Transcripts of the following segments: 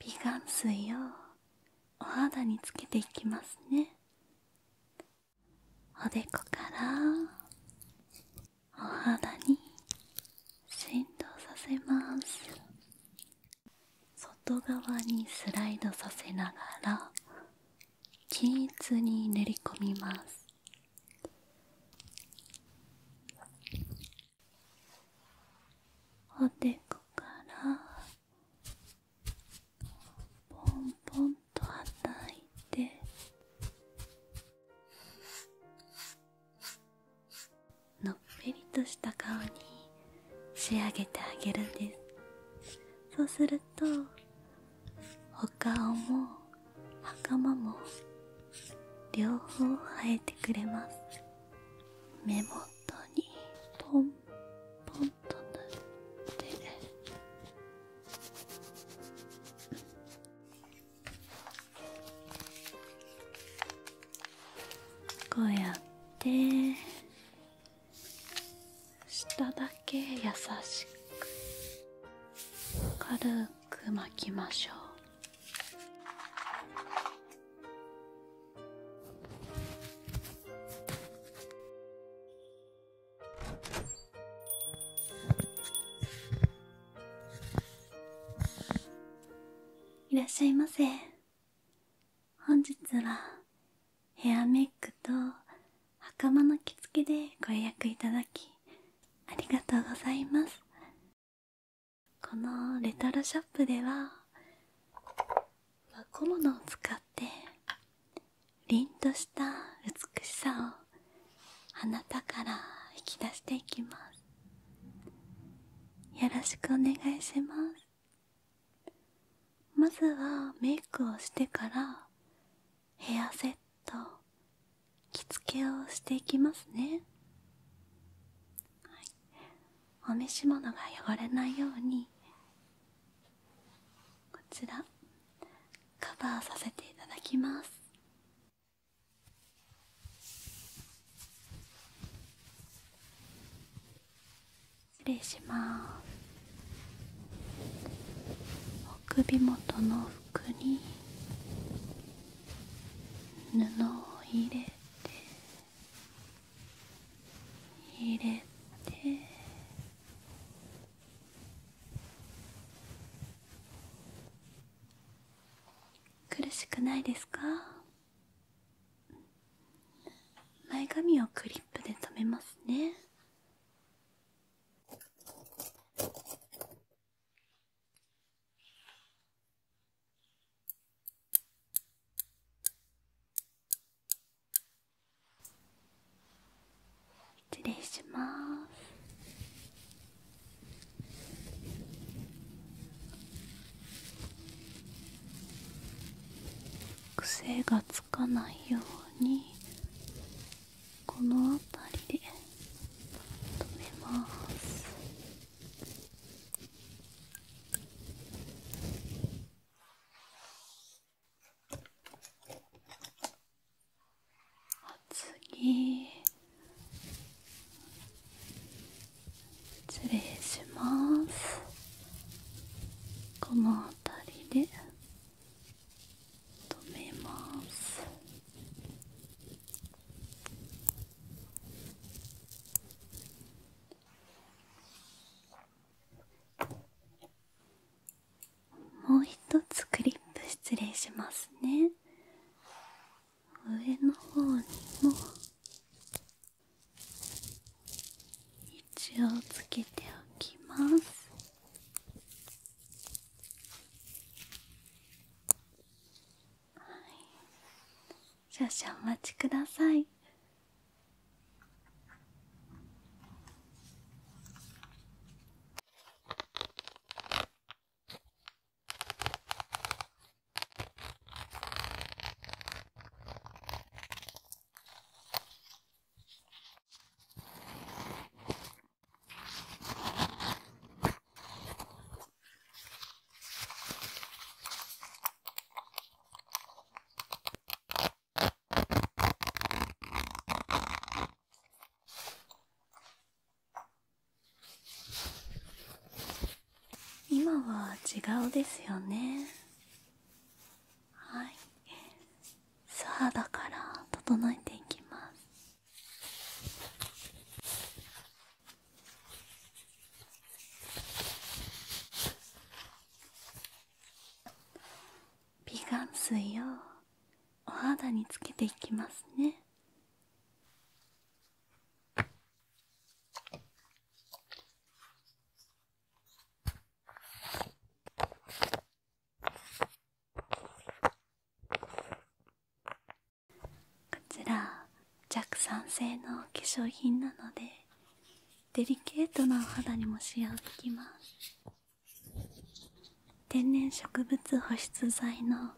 美顔水をお肌につけていきますねおでこからお肌に振動させます外側にスライドさせながら均一に練り込みますおでこからポンポンとはたいてのっぺりとした顔に仕上げてあげるんですそうするとお顔も袴も両方生えてくれます目も肩にポンポンと塗ってこうやって下だけ優しく軽く巻きましょう。いらっしゃいませ本日はヘアメイクと袴の着付けでご予約いただきありがとうございますこのレトロショップでは小物を使って凛とした美しさをあなたから引き出していきますよろしくお願いしますまずはメイクをしてからヘアセット着付けをしていきますね、お召し物が汚れないようにこちらカバーさせていただきます失礼します首元の服に布を入れて入れて苦しくないですか前髪をクリップで留めますね失礼します。癖がつかないようにこの辺りで止めます。次失礼しますこの辺りで止めますもう一つクリップ失礼しますね上の方にも一応つけておきますはい少々お待ちください今は違うですよねはい素肌から整えていきます美顔水をお肌につけていきますねこちら弱酸性の化粧品なのでデリケートなお肌にも使用できます天然植物保湿剤の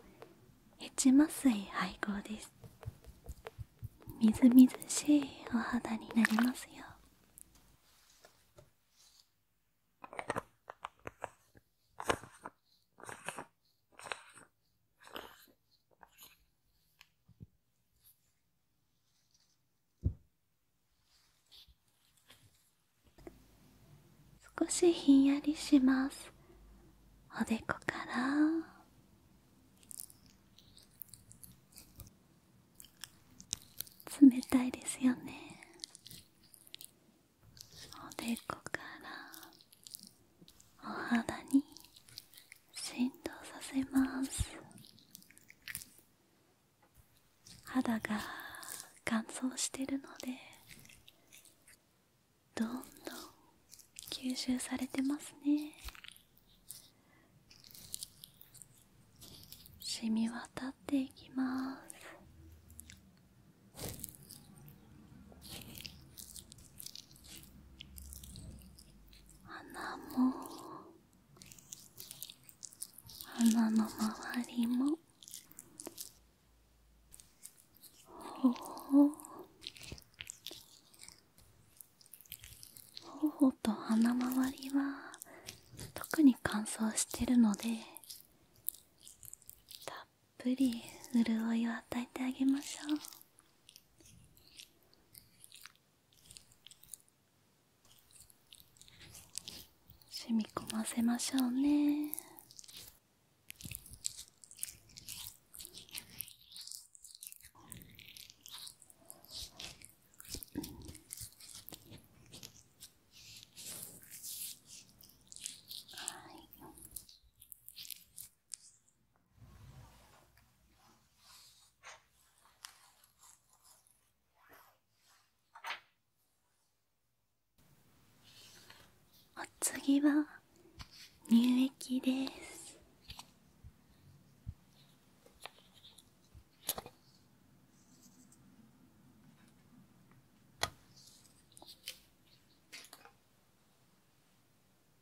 ヘチマ水配合ですみずみずしいお肌になりますよ少しひんやりしますおでこから冷たいですよねおでこからお肌に浸透させます肌が乾燥してるのでどんどん吸収されてますね染み渡っていきます鼻も鼻の周りもほほほ。頬と鼻周りは特に乾燥してるのでたっぷり潤いを与えてあげましょう。染み込ませましょうねはいお次は乳液です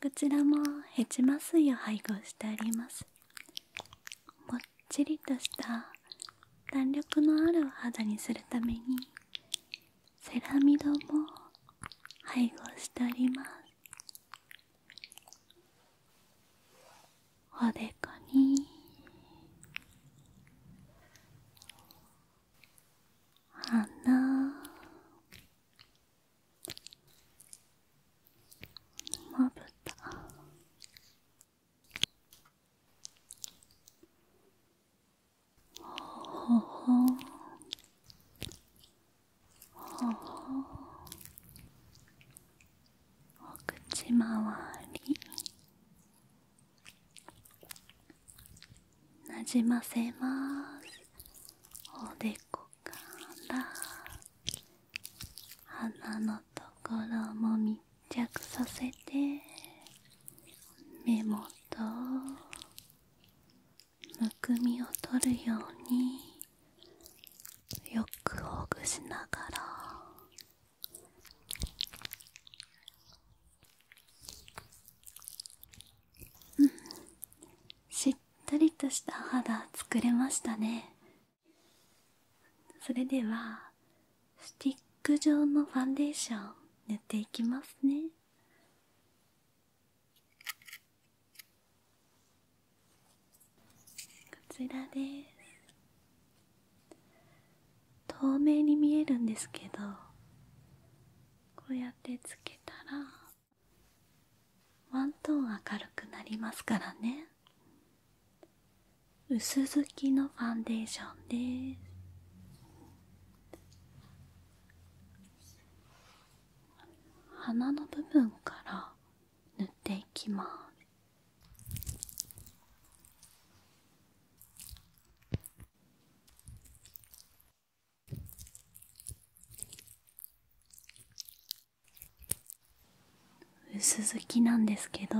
こちらもヘチマ水を配合してありますもっちりとした弾力のあるお肌にするためにセラミドも配合してありますおでこに鼻まぶたほほほほほお口まわりなじませますおでこから鼻のところも密着させて目元むくみを取るようによくほぐしながらうんしっっりとした肌作れましたねそれではスティック状のファンデーション塗っていきますねこちらです透明に見えるんですけどこうやってつけたらワントーン明るくなりますからね薄付きのファンデーションです鼻の部分から塗っていきます薄づきなんですけど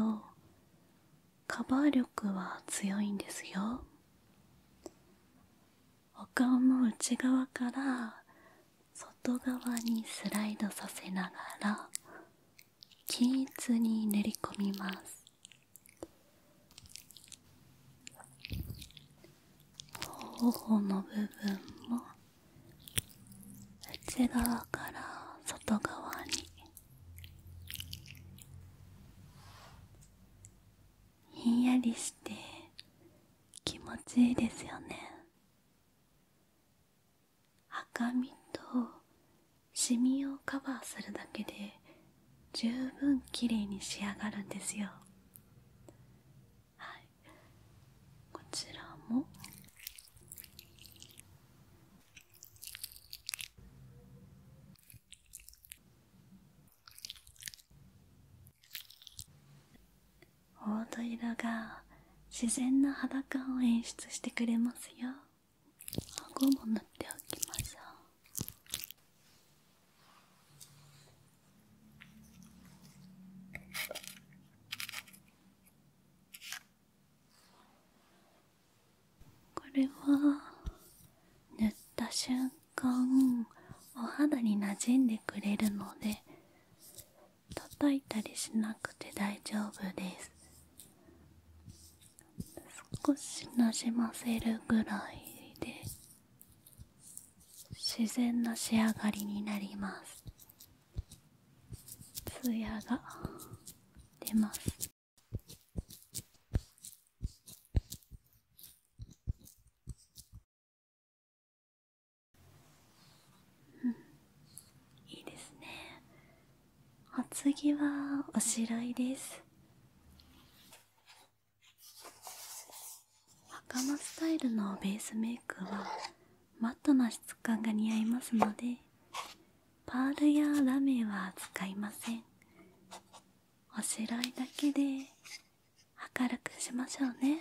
カバー力は強いんですよお顔の内側から外側にスライドさせながら均一に練り込みます頬の部分も内側から外側にひんやりして気持ちいいですよね赤みとシミをカバーするだけで十分きれいに仕上がるんですよはい、こちらも黄土色が自然な肌感を演出してくれますよ顎も塗っておきましょうこれは塗った瞬間お肌になじんでくれるので叩いたりしなくて大丈夫です少しなじませるぐらいで自然な仕上がりになりますツヤが出ますうんいいですねお次はおしろいです袴スタイルのベースメイクはマットな質感が似合いますのでパールやラメは使いませんおしろいだけで明るくしましょうね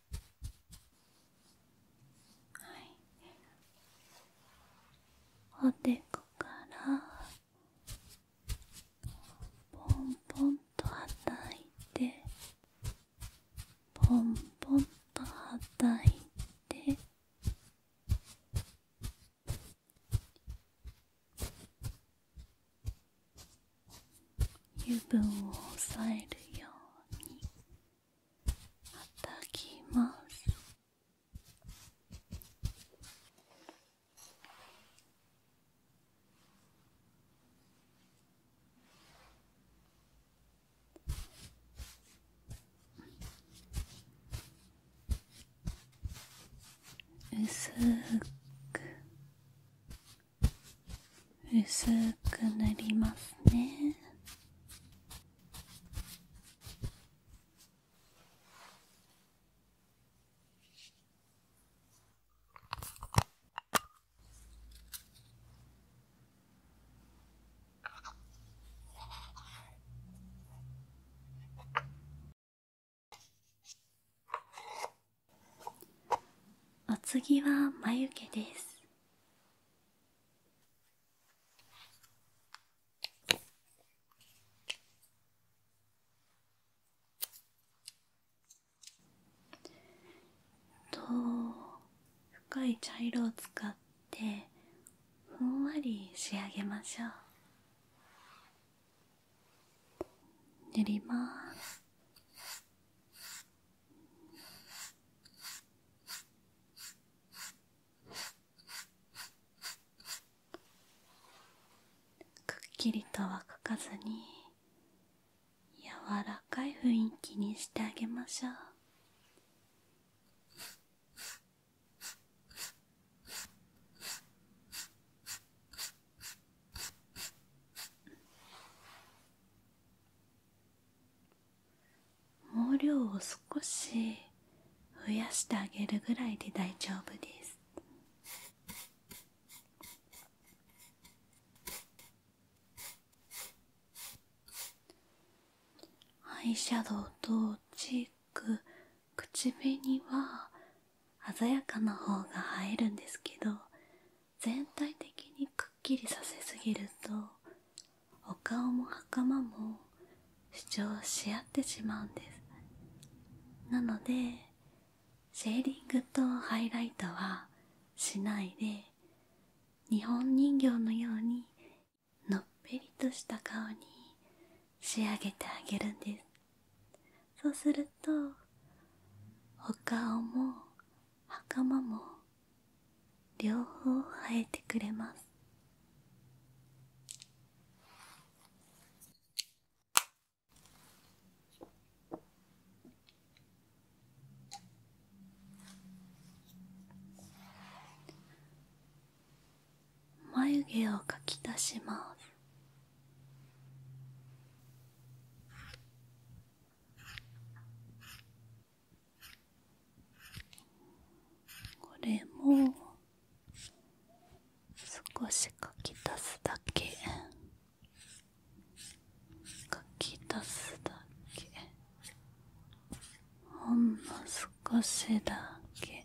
はいおでこからポンポンとはたいてポンポンとはたいて油分を抑えるように。たきます薄く薄く塗りますね。お次は眉毛ですと深い茶色を使ってふんわり仕上げましょう塗りますくっきりとは描かずに柔らかい雰囲気にしてあげましょう毛量を少し増やしてあげるぐらいで大丈夫ですアイシャドウとチーク口紅は鮮やかな方が映えるんですけど全体的にくっきりさせすぎるとお顔も袴も主張し合ってしまうんですなのでシェーディングとハイライトはしないで日本人形のようにのっぺりとした顔に仕上げてあげるんですそうするとお顔も袴も両方生えてくれます眉毛を描き出しますこれも少し書き足すだけ書き足すだけほんの少しだけ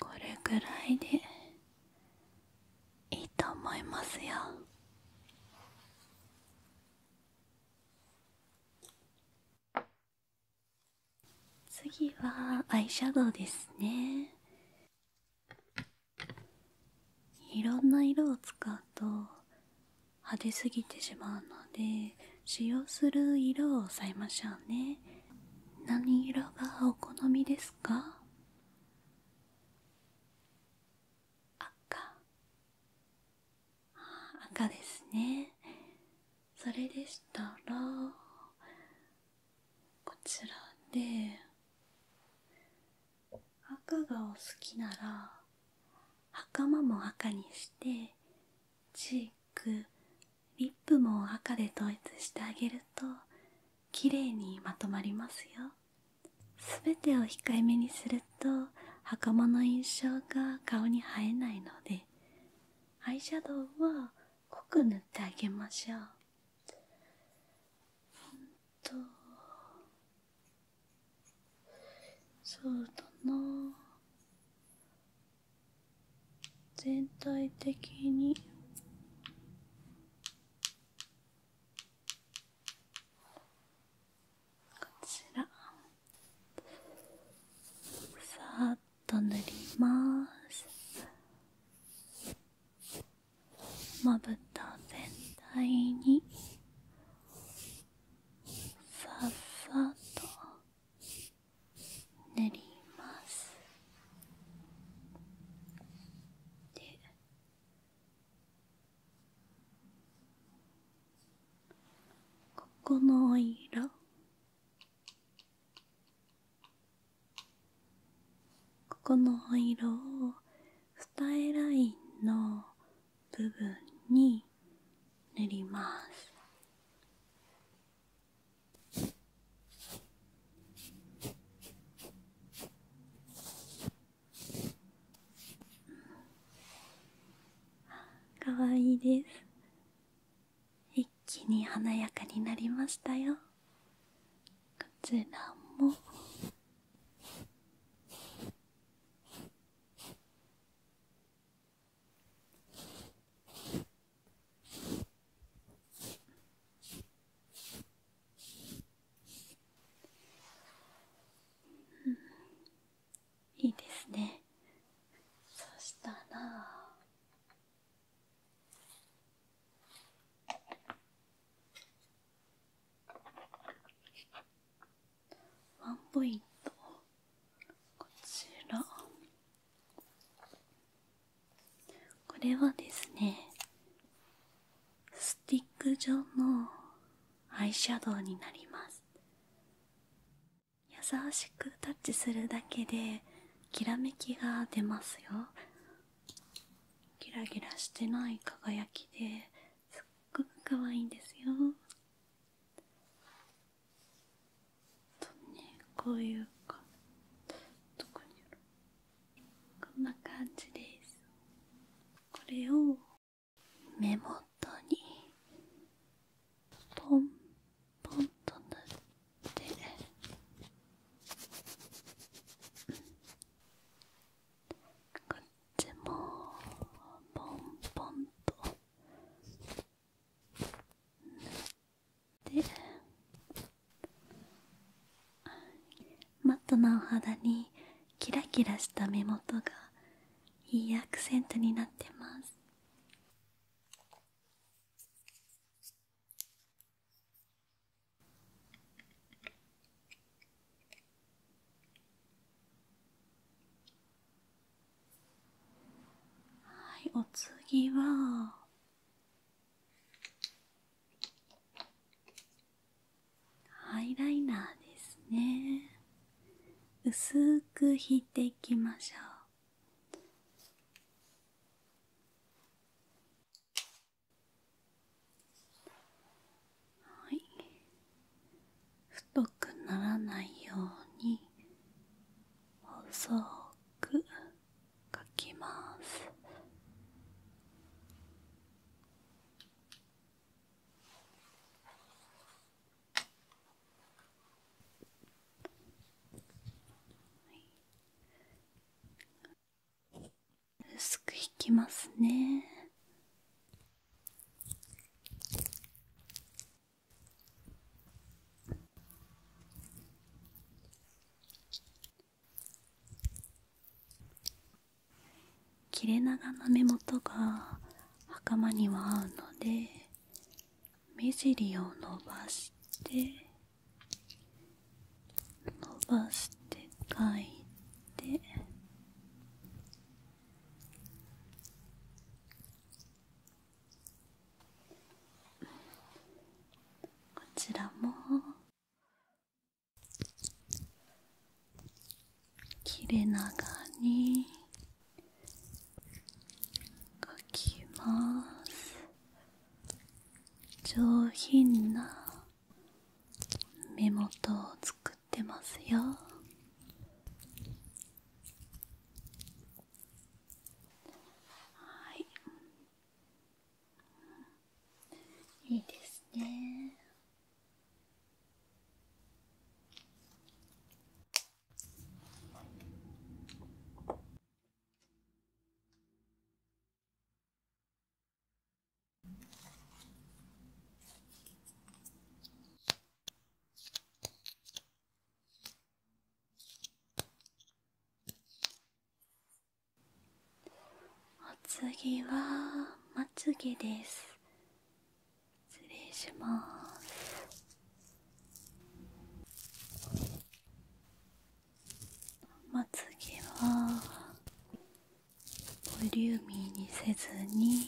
これくらいでいいと思いますよ次はアイシャドウですねいろんな色を使うと派手すぎてしまうので使用する色を抑えましょうね何色がお好みですで赤赤ですねそれでしたらこちらで赤がお好きなら袴も赤にしてチークリップも赤で統一してあげるときれいにまとまりますよすべてを控えめにすると袴の印象が顔に映えないのでアイシャドウは濃く塗ってあげましょううんとそうだな全体的にこちらさーっと塗りますまぶた全体にさっさと塗りますここのお色ここのお色を二重ラインの部分に塗りますかわいいです一気に華やかになりましたよこちらもうん、いいですねそしたらワンポイントこちら。これはですねスティック状のアイシャドウになります優しくタッチするだけできらめきが出ますよギラギラしてない輝きですっごく可愛いんですよねこういうかどこにあるこんな感じですこれを目元にポンポンと塗ってこっちもポンポンと塗っでマットなお肌にキラキラした目元がいいアクセントになってますはいお次はハイライナーですね薄く引いていきましょうはい太くならないように細く。書きます薄く引きますね切れ長の目元が袴には合うので目尻を伸ばして伸ばして描いてこちらも切れ長に描きます上品な目元を作ってますよはいいいですねお次はまつげです失礼しますまつげはボリューミーにせずに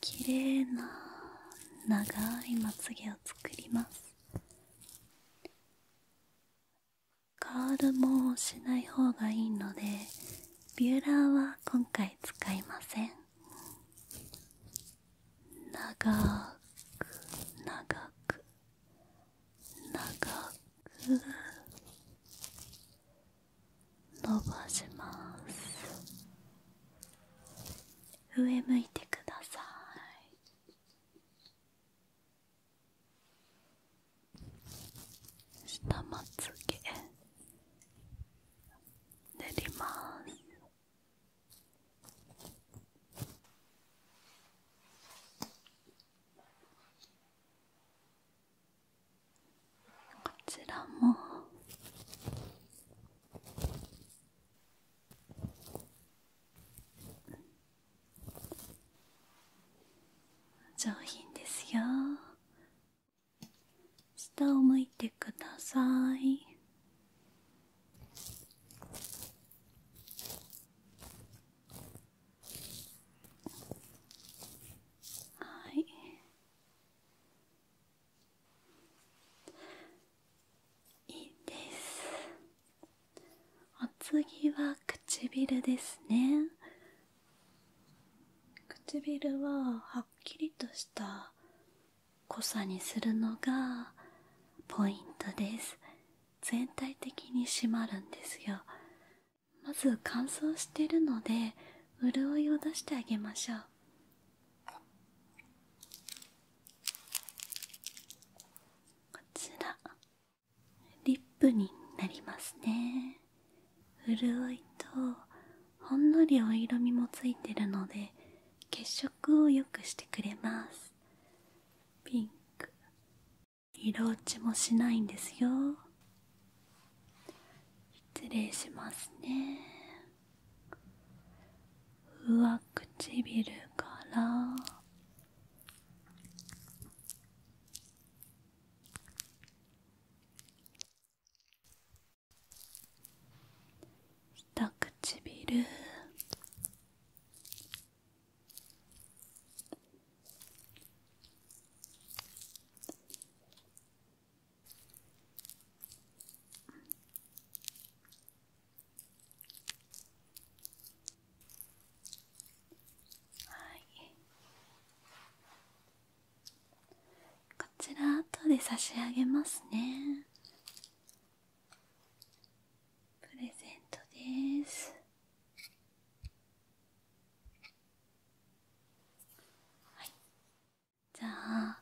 綺麗な長いまつげを作りますカールもしない方がいいのでビューラーは今回使いません長く長く長く伸ばします上向いてください下まつげ練りますこちらも上品ですよ下を向いてくださいはいいいですお次は唇ですね唇ははっきりとした濃さにするのがポイントです全体的に締まるんですよまず乾燥してるので潤いを出してあげましょうこちらリップになりますね潤いとほんのりお色味もついてるので血色を良くしてくれますピンク色落ちもしないんですよ失礼しますね上唇から下唇はいこちら後で差し上げますねプレゼントですじゃあ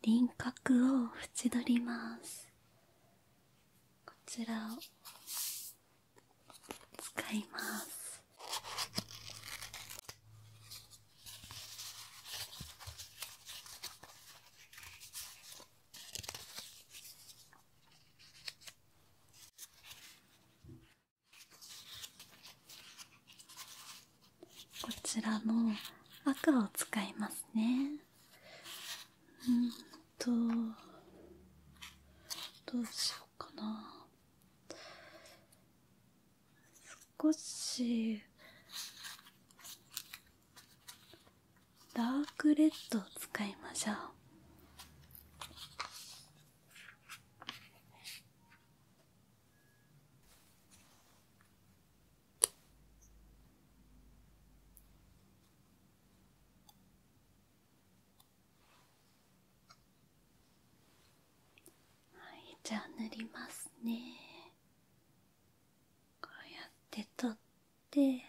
輪郭を縁取りますこちらを使いますこちらの赤を使いますねうんとどうしようかな少しダークレッドを使いましょうはいじゃあ塗りますねこうやって取って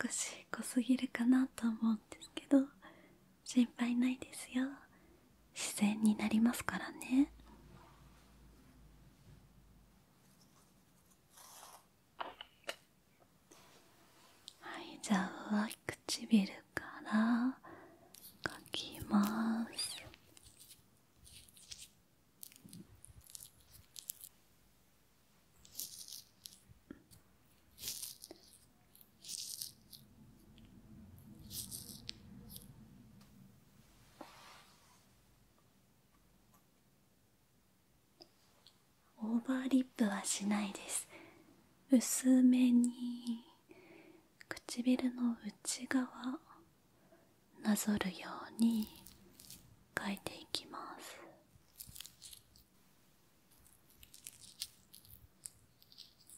少し濃すぎるかなと思うんですけど心配ないですよ自然になりますからねはいじゃあ上唇からかきますオーバーリップはしないです薄めに唇の内側なぞるように描いていきます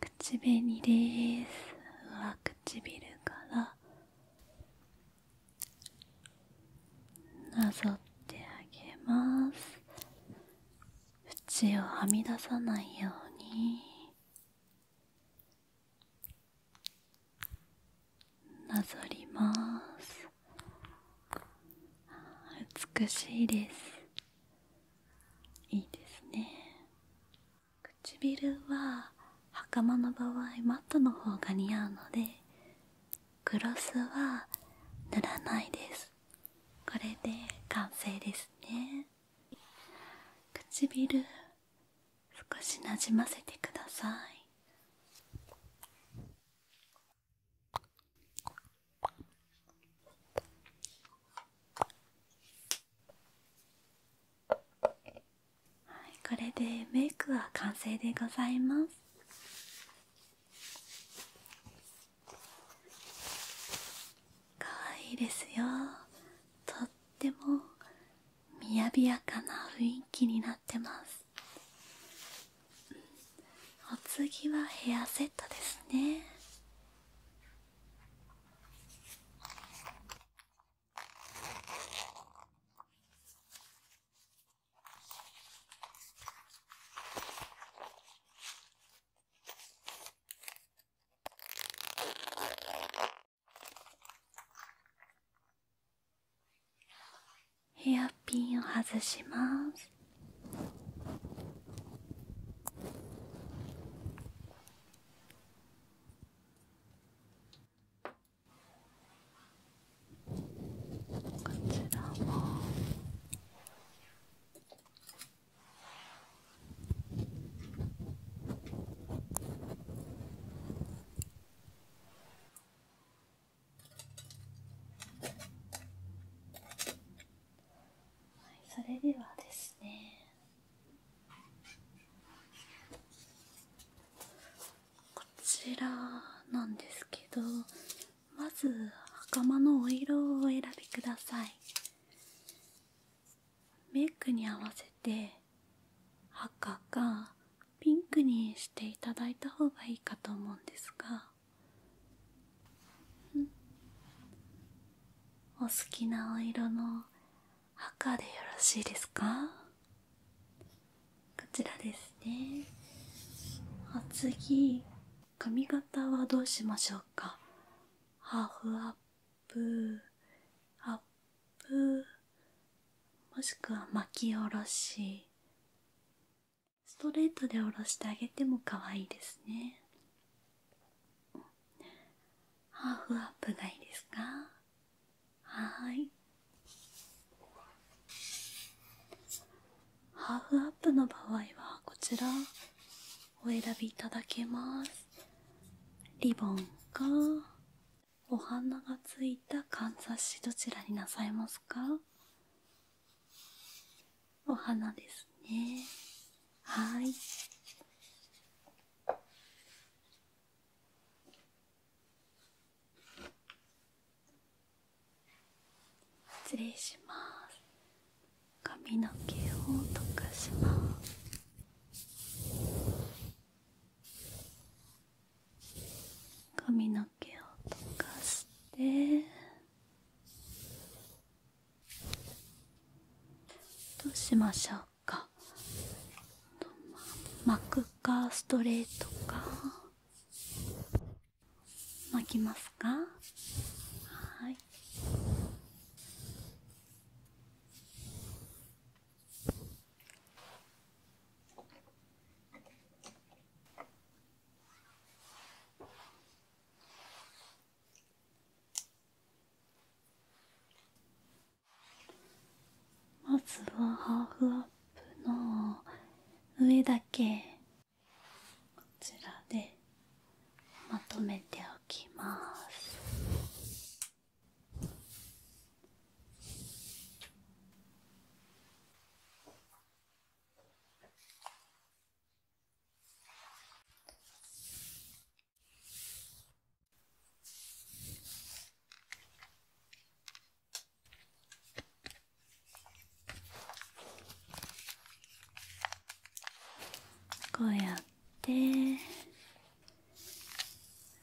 口紅です上唇からなぞってあげます縁をはみ出さないようになぞります美しいですいいですね唇は袴の場合マットの方が似合うのでグロスは塗らないですこれで完成ですね唇少しなじませてくださいはい、これでメイクは完成でございますかわいいですよとってもみやびやかな雰囲気になってますお次はヘアセットですねヘアピンを外しますこちらもはい、それではですねこちらなんですけどまず袴のお色をお選びくださいメイクに合わせて赤かピンクにしていただいた方がいいかと思うんですがお好きなお色の赤でよろしいですかこちらですねあ次髪型はどうしましょうかハーフアップアップもしくは巻き下ろしストレートで下ろしてあげても可愛いですねハーフアップがいいですかはーいハーフアップの場合はこちらお選びいただけますリボンかお花がついたかんざしどちらになさいますかお花ですねはい失礼します髪の毛を溶かします髪の毛を溶かしてどうしましょうか巻くかストレートか巻きますかはいまずはハーフアップの上だけこちらでまとめておきますこうやって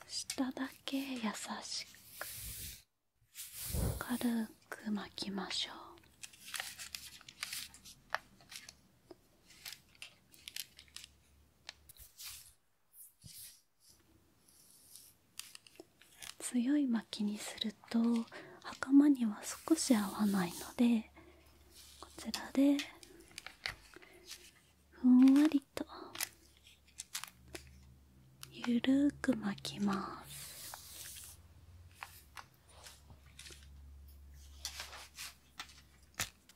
下だけ優しく軽く巻きましょう強い巻きにすると袴には少し合わないのでこちらでふんわりとゆるーく巻きます。そ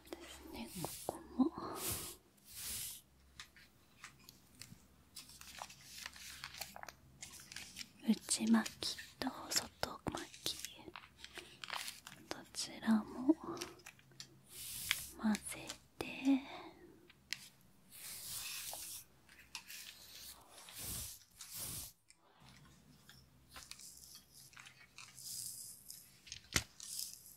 うですねここも内巻きと外巻きどちらも混ぜて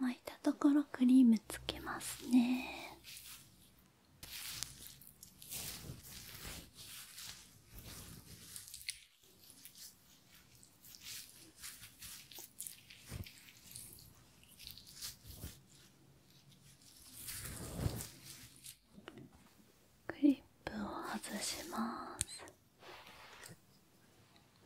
巻いたところクリームつけますねクリップを外します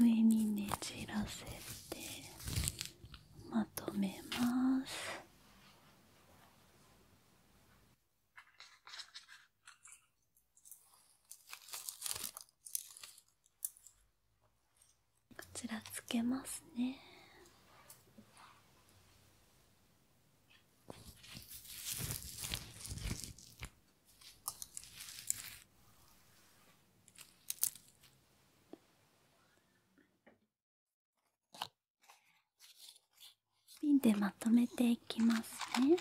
上にねじらせてまとめます。こちらつけますね。ピンでまとめていきますね。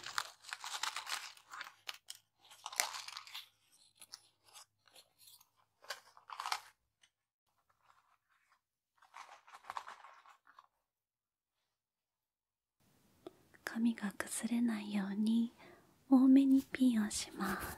紙が崩れないように多めにピンをします。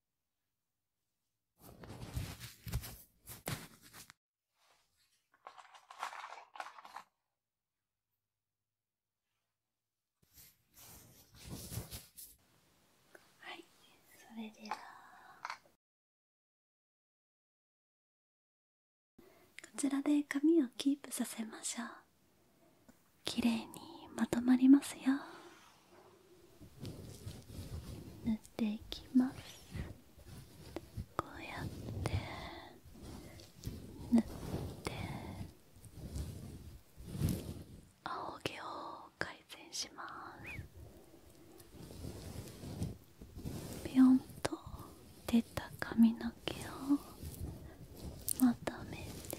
はい、それではこちらで髪をキープさせましょう。きれいにまとまりますよ。塗っていきますこうやって青毛を改善しますビヨンと出た髪の毛をまとめて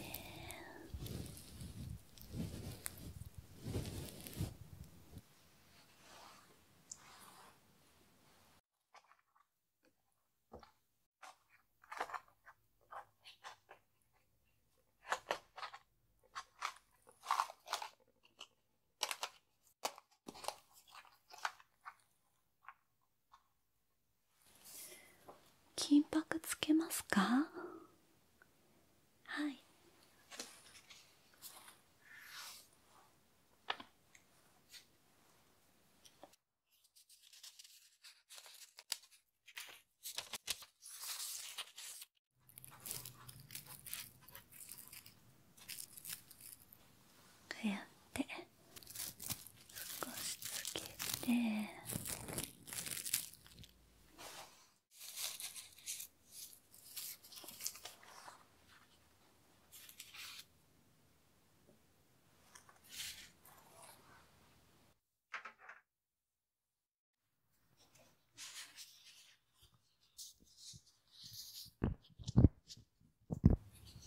金箔つけますかはいこうやって少しつけて。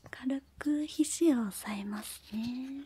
軽く肘を押さえますね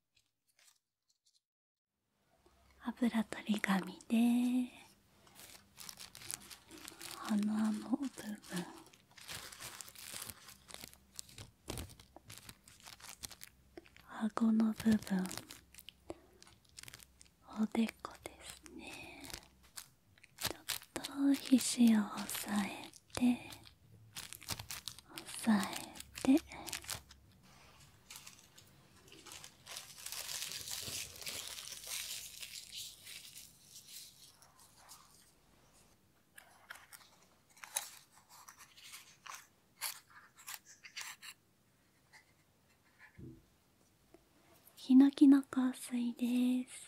油取り紙で鼻の部分顎の部分おでこですねちょっと肘を押さえて押さえてヒノキの香水です。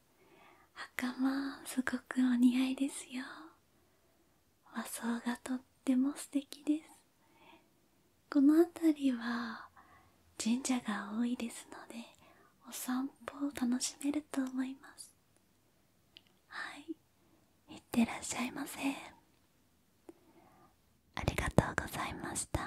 ます袴すごくお似合いですよ和装がとっても素敵ですこの辺りは神社が多いですのでお散歩を楽しめると思いますはいいってらっしゃいませありがとうございました